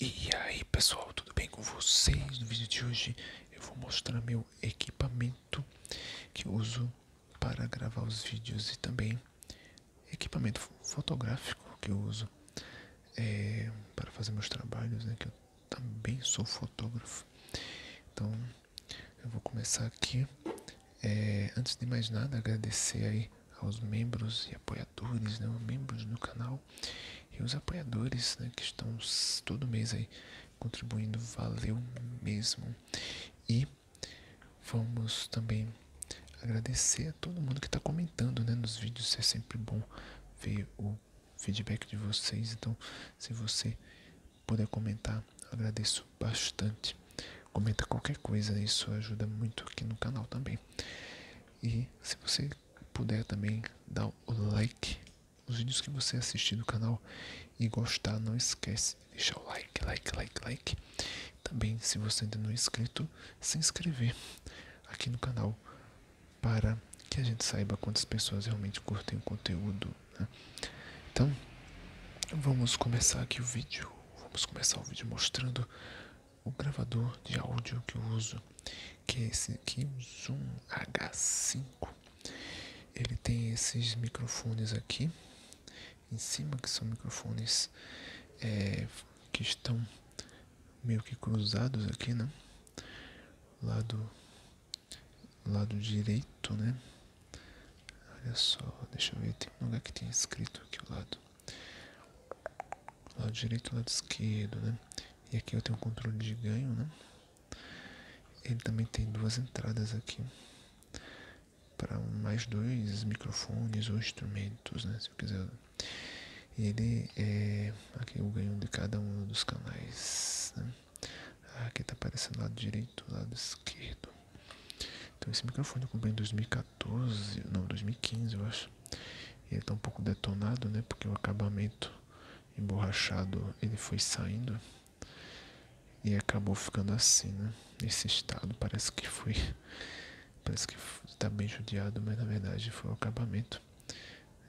E aí pessoal, tudo bem com vocês? No vídeo de hoje eu vou mostrar meu equipamento que uso para gravar os vídeos e também equipamento fotográfico que eu uso é, para fazer meus trabalhos, né, que eu também sou fotógrafo. Então eu vou começar aqui. É, antes de mais nada, agradecer aí aos membros e apoiadores, né, membros do canal e os apoiadores né, que estão todo mês aí contribuindo, valeu mesmo. E vamos também agradecer a todo mundo que está comentando né, nos vídeos, é sempre bom ver o feedback de vocês, então se você puder comentar, agradeço bastante. Comenta qualquer coisa, isso ajuda muito aqui no canal também. E se você puder também dar o like nos vídeos que você assistiu no canal e gostar, não esquece de deixar o like, like, like, like. Também, se você ainda não é inscrito, se inscrever aqui no canal para que a gente saiba quantas pessoas realmente curtem o conteúdo. Né? Então, vamos começar aqui o vídeo. Vamos começar o vídeo mostrando o gravador de áudio que eu uso, que é esse aqui, o Zoom H5. Ele tem esses microfones aqui em cima, que são microfones é, que estão meio que cruzados aqui, né? Lado, lado direito, né? Olha só, deixa eu ver, tem um lugar que tem escrito aqui ao lado. Lado direito, lado esquerdo, né? E aqui eu tenho um controle de ganho, né? Ele também tem duas entradas aqui para mais dois microfones ou instrumentos, né? Se eu quiser. Ele é aqui o ganho de cada um dos canais. Né? Aqui tá aparecendo lado direito, lado esquerdo. Então esse microfone eu comprei em 2014. 2014, não, 2015 eu acho. Ele tá um pouco detonado, né? Porque o acabamento emborrachado ele foi saindo e acabou ficando assim, né? nesse estado parece que foi. Parece que tá bem judiado, mas na verdade foi o acabamento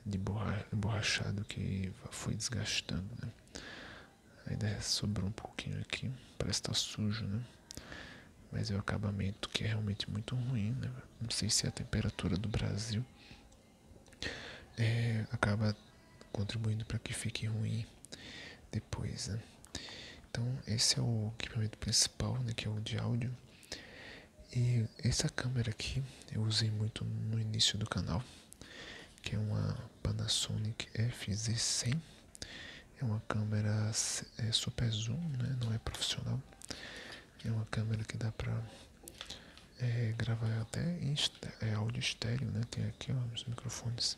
de borra, emborrachado que foi desgastando, né? Ainda sobrou um pouquinho aqui, parece estar tá sujo, né? Mas é o acabamento que é realmente muito ruim, né? Não sei se a temperatura do Brasil é, acaba contribuindo para que fique ruim depois, né? Então esse é o equipamento principal, né, Que é o de áudio. E essa câmera aqui eu usei muito no início do canal, que é uma Panasonic FZ100 é uma câmera é super zoom, né? não é profissional. É uma câmera que dá pra é, gravar até em é, áudio estéreo, né? Tem aqui ó, os microfones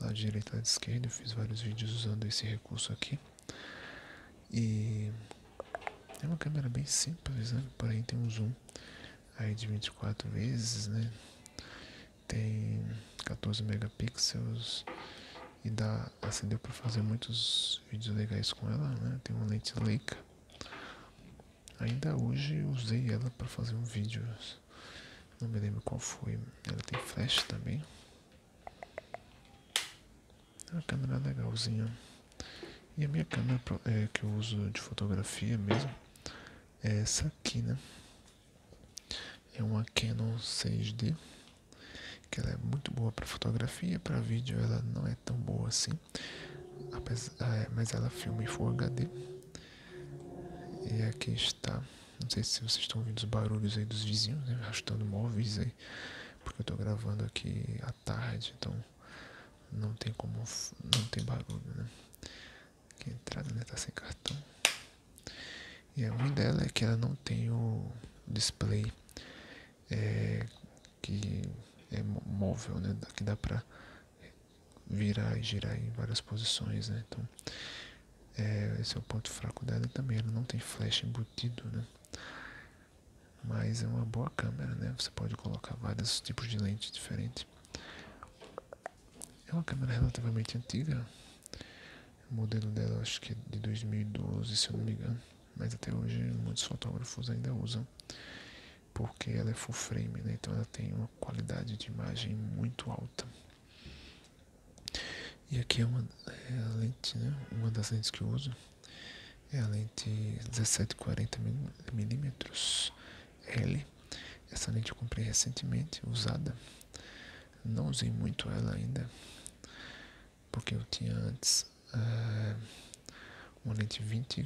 lá direito e lado esquerdo. Eu fiz vários vídeos usando esse recurso aqui. E é uma câmera bem simples, né? Porém tem um zoom aí de 24 vezes, né? tem 14 megapixels e dá assim para fazer muitos vídeos legais com ela né tem uma lente Leica ainda hoje usei ela para fazer um vídeo não me lembro qual foi ela tem flash também é uma câmera legalzinha e a minha câmera é, que eu uso de fotografia mesmo é essa aqui né é uma Canon 6D, que ela é muito boa para fotografia, para vídeo ela não é tão boa assim, é, mas ela filma em Full HD. E aqui está, não sei se vocês estão ouvindo os barulhos aí dos vizinhos, né, arrastando móveis aí, porque eu estou gravando aqui à tarde, então não tem como, não tem barulho, né a entrada né, tá sem cartão. E a ruim dela é que ela não tem o display é, que é móvel, né? Que dá para virar e girar em várias posições, né? Então, é, esse é o ponto fraco dela também. Ela não tem flash embutido, né? Mas é uma boa câmera, né? Você pode colocar vários tipos de lente diferentes. É uma câmera relativamente antiga. O modelo dela acho que é de 2012, se eu não me engano. Mas até hoje muitos fotógrafos ainda usam. Porque ela é full frame, né? Então ela tem uma qualidade de imagem muito alta. E aqui é uma é lente, né? Uma das lentes que eu uso é a lente 1740 milímetros L. Essa lente eu comprei recentemente, usada. Não usei muito ela ainda, porque eu tinha antes eh, uma lente 24mm,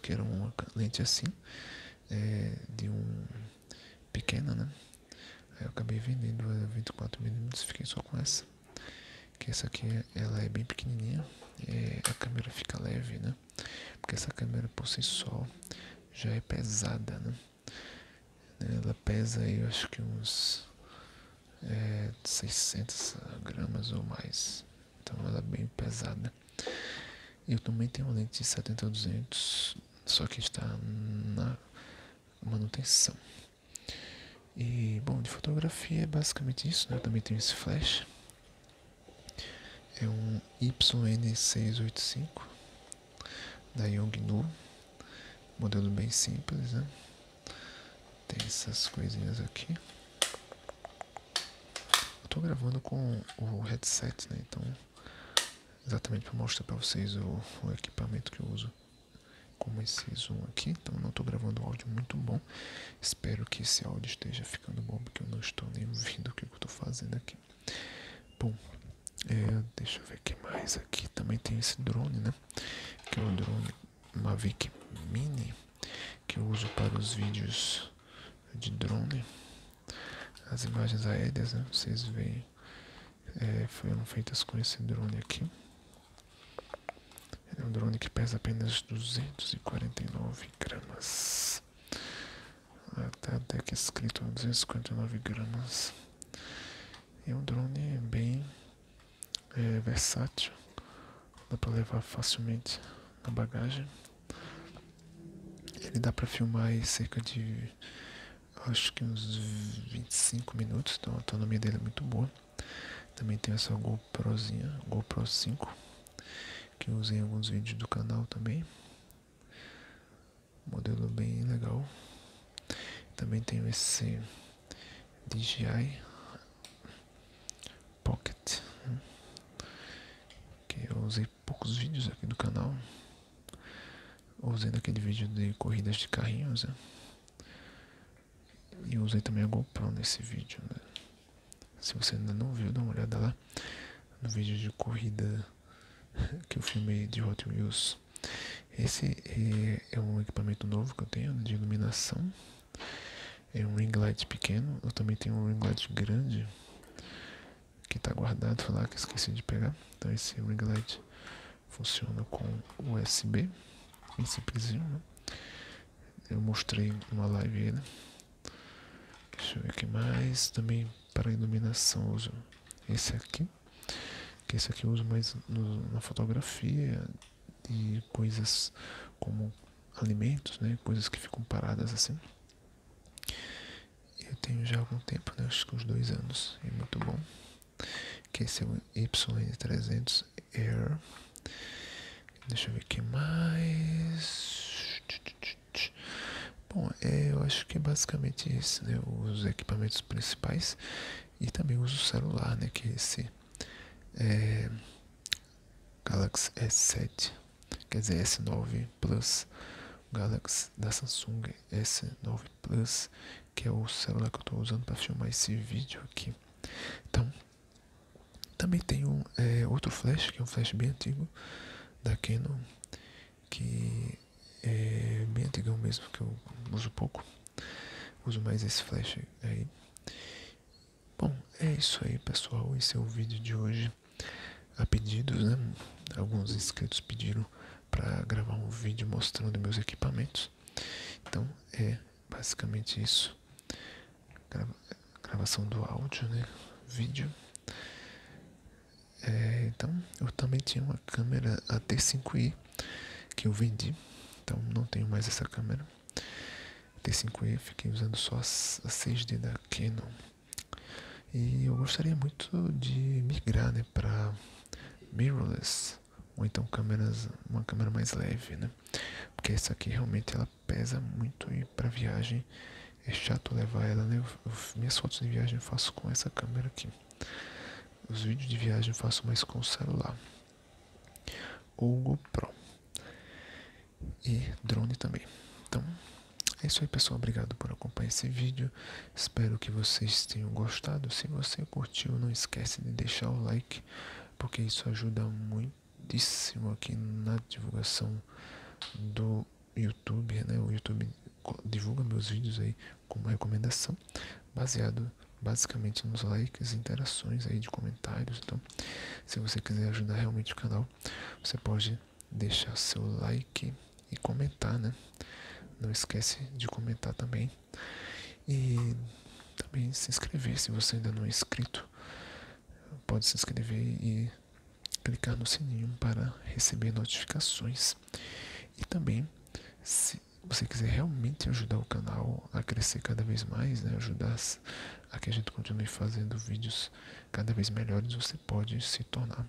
que era uma lente assim, eh, de um pequena, né? eu acabei vendendo a 24mm, fiquei só com essa. Que essa aqui, ela é bem pequenininha, eh, a câmera fica leve, né? Porque essa câmera por si só já é pesada, né? Ela pesa aí, eu acho que uns 600 é, gramas ou mais. Então ela é bem pesada. Eu também tenho uma lente de 70-200, a só que está na manutenção. E, bom, de fotografia é basicamente isso, né? Eu também tenho esse flash é um YN685 da Yongnuo, modelo bem simples, né? Tem essas coisinhas aqui. Estou gravando com o headset, né? Então, exatamente para mostrar para vocês o, equipamento que eu uso como esse zoom aqui. Então, não estou gravando áudio muito bom. Espero que esse áudio esteja ficando bom porque eu não estou nem ouvindo o que eu estou fazendo aqui. Bom, é, deixa eu ver o que mais aqui. Também tem esse drone, né? Que é um drone Mavic Mini que eu uso para os vídeos de drone. As imagens aéreas, né? Vocês veem, é, foram feitas com esse drone aqui. É um drone que pesa apenas 249 gramas. Tá até que escrito 259 gramas. é um drone bem é, versátil, dá para levar facilmente na bagagem. Ele dá para filmar cerca de acho que uns 25 minutos, então a autonomia dele é muito boa. Também tem essa GoProzinha, GoPro 5 que eu usei em alguns vídeos do canal também. Modelo bem legal. Também tenho esse DJI Pocket, né? que eu usei poucos vídeos aqui do canal. Usei naquele vídeo de corridas de carrinhos, né? E eu usei também a GoPro nesse vídeo, né? Se você ainda não viu, dá uma olhada lá no vídeo de corrida que eu filmei de Hot Wheels. Esse é um equipamento novo que eu tenho de iluminação. É um ring light pequeno. Eu também tenho um ring light grande que está guardado lá que esqueci de pegar. Então esse ring light funciona com USB, esse prisão, eu mostrei uma live, né? Deixa eu ver aqui mais. Também para iluminação uso esse aqui. Que esse aqui uso mais na fotografia e coisas como alimentos, né? Coisas que ficam paradas assim. Eu tenho já algum tempo, né? Acho que uns dois anos. É muito bom. esse é o YN300 Air. Deixa eu ver o que mais. Bom, é, eu acho que é basicamente isso, né? Os equipamentos principais e também uso o celular, né? Que é esse é, Galaxy S7, quer dizer S9 Plus, Galaxy da Samsung S9 Plus, que é o celular que eu estou usando para filmar esse vídeo aqui. Então, também tem um, é, outro flash, que é um flash bem antigo da Canon, que é bem antigão mesmo, que eu uso pouco. Uso mais esse flash aí. Bom, é isso aí pessoal, esse é o vídeo de hoje a pedidos, né? Alguns inscritos pediram para gravar um vídeo mostrando meus equipamentos. Então é basicamente isso. gravação do áudio, né? Vídeo. É, então, eu também tinha uma câmera t 5 i que eu vendi. Então, não tenho mais essa câmera. T5i, fiquei usando só a 6D da Canon. E eu gostaria muito de migrar né, para mirrorless, ou então câmeras uma câmera mais leve né porque essa aqui realmente ela pesa muito e para viagem é chato levar ela né? minhas fotos de viagem eu faço com essa câmera aqui os vídeos de viagem eu faço mais com o celular ou GoPro e drone também então é isso aí pessoal, obrigado por acompanhar esse vídeo, espero que vocês tenham gostado, se você curtiu não esquece de deixar o like, porque isso ajuda muitíssimo aqui na divulgação do YouTube, né? O YouTube divulga meus vídeos aí como recomendação, baseado basicamente nos likes, interações aí de comentários. Então, se você quiser ajudar realmente o canal, você pode deixar seu like e comentar, né? Não esquece de comentar também e também se inscrever, se você ainda não é inscrito, pode se inscrever e clicar no sininho para receber notificações. E também, se você quiser realmente ajudar o canal a crescer cada vez mais, né, ajudar a que a gente continue fazendo vídeos cada vez melhores, você pode se tornar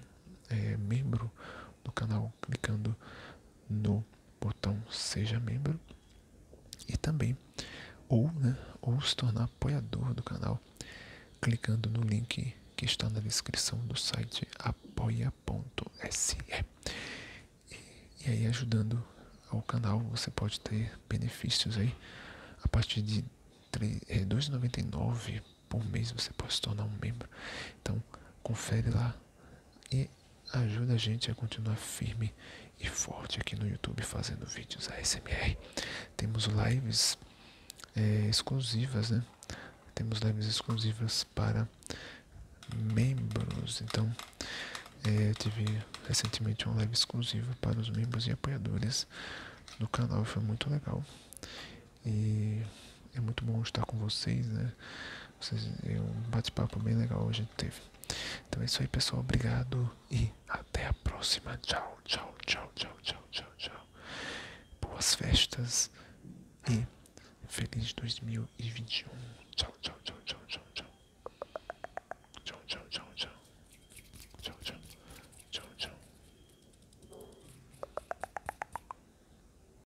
eh, membro do canal clicando no botão seja membro e também ou, né, ou se tornar apoiador do canal clicando no link que está na descrição do site apoia.se. E aí ajudando ao canal você pode ter benefícios aí a partir de 2,99 é, por mês você pode se tornar um membro. Então confere lá e ajuda a gente a continuar firme e forte aqui no YouTube fazendo vídeos ASMR. Temos lives é, exclusivas, né? Temos lives exclusivas para membros. Então, é, tive recentemente uma live exclusiva para os membros e apoiadores do canal, foi muito legal. E é muito bom estar com vocês, né? um bate-papo bem legal hoje teve. Então é isso aí, pessoal. Obrigado e até a próxima. Tchau, tchau, tchau, tchau, tchau, tchau, tchau. Boas festas e feliz 2021. Tchau, tchau, tchau, tchau, tchau, tchau. Tchau, tchau, tchau, tchau. Tchau, tchau. Tchau, tchau.